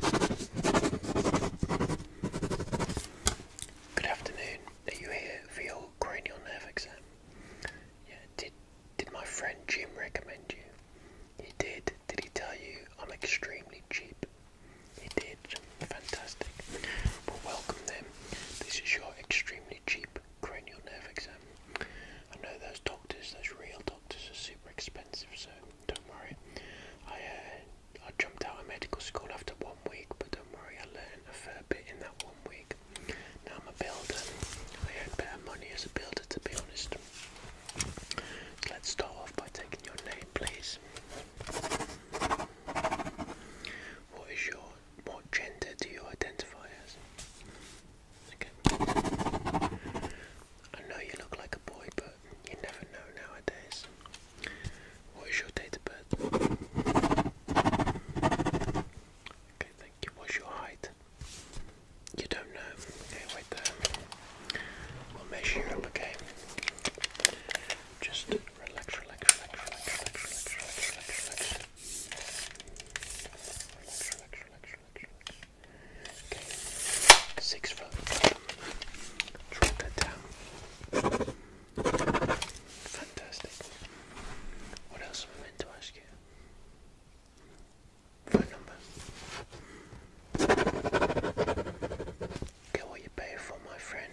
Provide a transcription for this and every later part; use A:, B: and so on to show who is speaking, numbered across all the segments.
A: Good afternoon. Are you here for your cranial nerve exam? Yeah. Did did my friend Jim recommend you? He did. Did he tell you I'm extremely cheap? He did. Fantastic. Well, welcome them. This is your extremely cheap cranial nerve exam. I know those doctors, those real doctors, are super expensive, so don't worry. I uh, I jumped out of medical school after one week, but don't worry, I learned a fair bit in that one week. Now I'm a builder. I earn better money as a builder, to be honest. let's start off by taking your name, please. What is your what gender do you identify as? Okay. I know you look like a boy, but you never know nowadays. What is your date of birth? Okay, thank you. What's your height? You don't know. Okay, wait there. We'll measure you up, Just relax, relax, relax, relax, relax, relax. Relax, relax, relax, relax, relax. Six foot. Drop that down. Fantastic. What else am I meant to ask you? Phone number. Get what you pay for, my friend.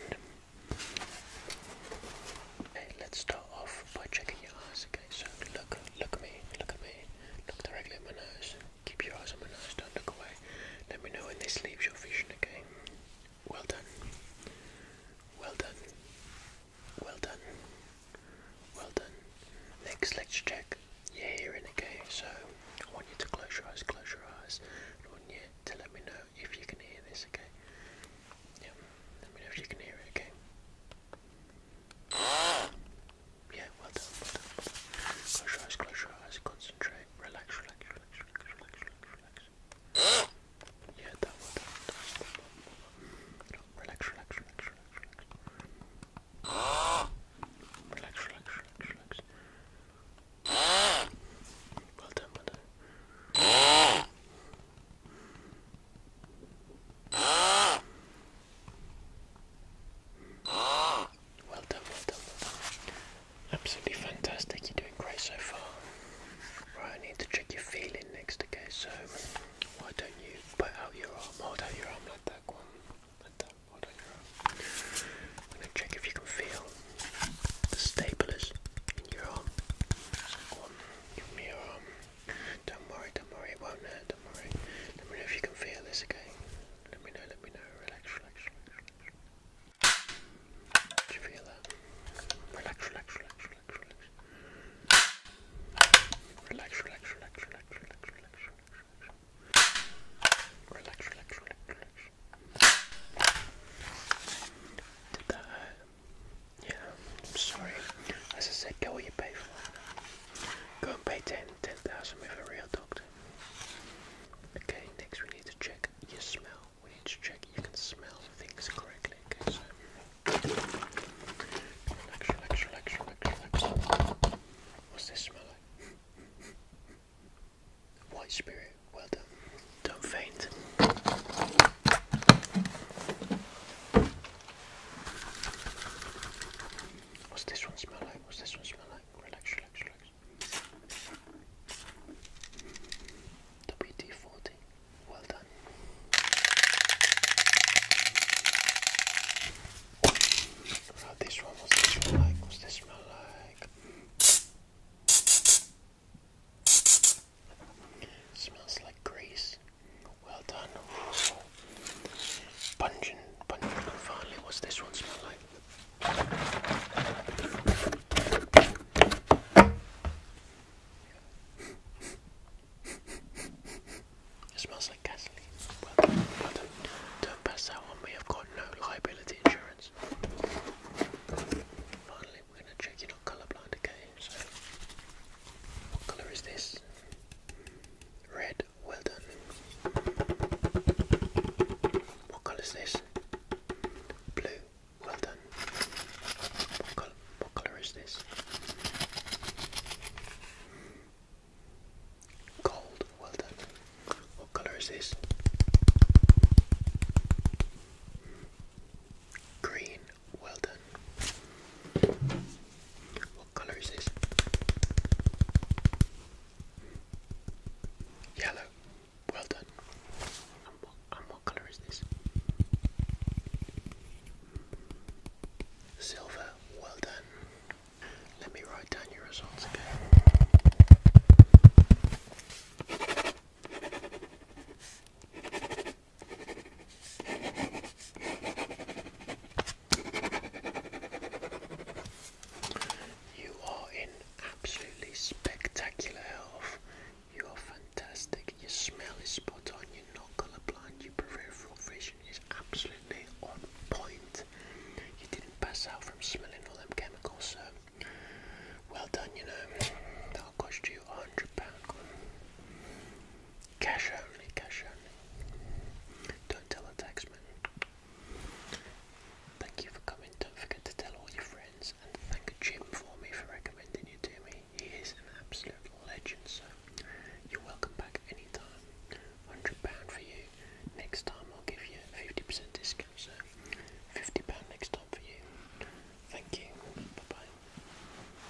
A: Hey, let's start off by checking your eyes. Okay, so look, look at me, look at me, look directly at my nose. Keep your eyes on my don't look away. Let me know when this leaves your vision, again. Well done. Well done. Well done. Well done. Next, let's check your hearing, okay? So, I want you to close your eyes, close your eyes. I want you to let me know if you can hear this, okay? Yeah, let me know if you can hear it, okay? Yeah, well done, well done, well done. Close your eyes, close your eyes, concentrate, relax, relax, relax, relax, relax, relax, relax. Yeah, that one, that one, that one, that one. No, relax, relax, relax, relax, relax. Relax, relax, relax, relax. Well done, well done. Well done, well done, Absolutely fantastic. You're doing great so far. Right, I need to check your feeling next, okay? So, why don't you put out your arm, hold out your arm like that one, like that, hold out your arm. I'm going to check if you can feel the staplers in your arm. give me your arm. Don't worry, don't worry, it won't hurt. Let me know if you can feel this again. Let me know, let me know. Relax, relax, relax, you feel that? Relax, relax, relax, relax, relax. Relax, relax, relax, relax, Did that Yeah, sorry. As I said, go where you pay for. Go and pay 10, 10,000 with a real doctor. Okay, next we need to check your smell. We need to check you can smell things correctly. so What's this smell like? White spirit, well done. Don't faint. What's this one smell like? What's this one smell like? Relax, relax, relax. WD-40. Well done. Right, this one, what's this one like? this smell like? smells like grease. Well done. Pungent, pungent finally, what's this one smell like? it smells like gasoline. Don't pass that one, we have got no liability insurance. Finally, we're going to check you're not okay? So, what colour is this? Red, well done. What colour is this? Blue, well done. What colour, is this? Gold, well done. What colour is this? Green, well done. What colour is this? Yellow. Well done. And what, colour is this? Silver. Well done. Let me write down your results again. You are in absolutely spectacular health. You are fantastic. Your smell is spot on. You're not colorblind. Your peripheral vision is absolutely on point. You didn't pass out from smelling all them chemicals, so well done, you know. That'll cost you a hundred pounds. Cash only, cash only. Don't tell the taxman. Thank you for coming. Don't forget to tell all your friends and thank Jim for me for recommending you to me. He is an absolute legend, so you're welcome back anytime. Hundred pound for you. Next time I'll give you a fifty percent discount, so fifty pound next time for you. Thank you. Bye bye.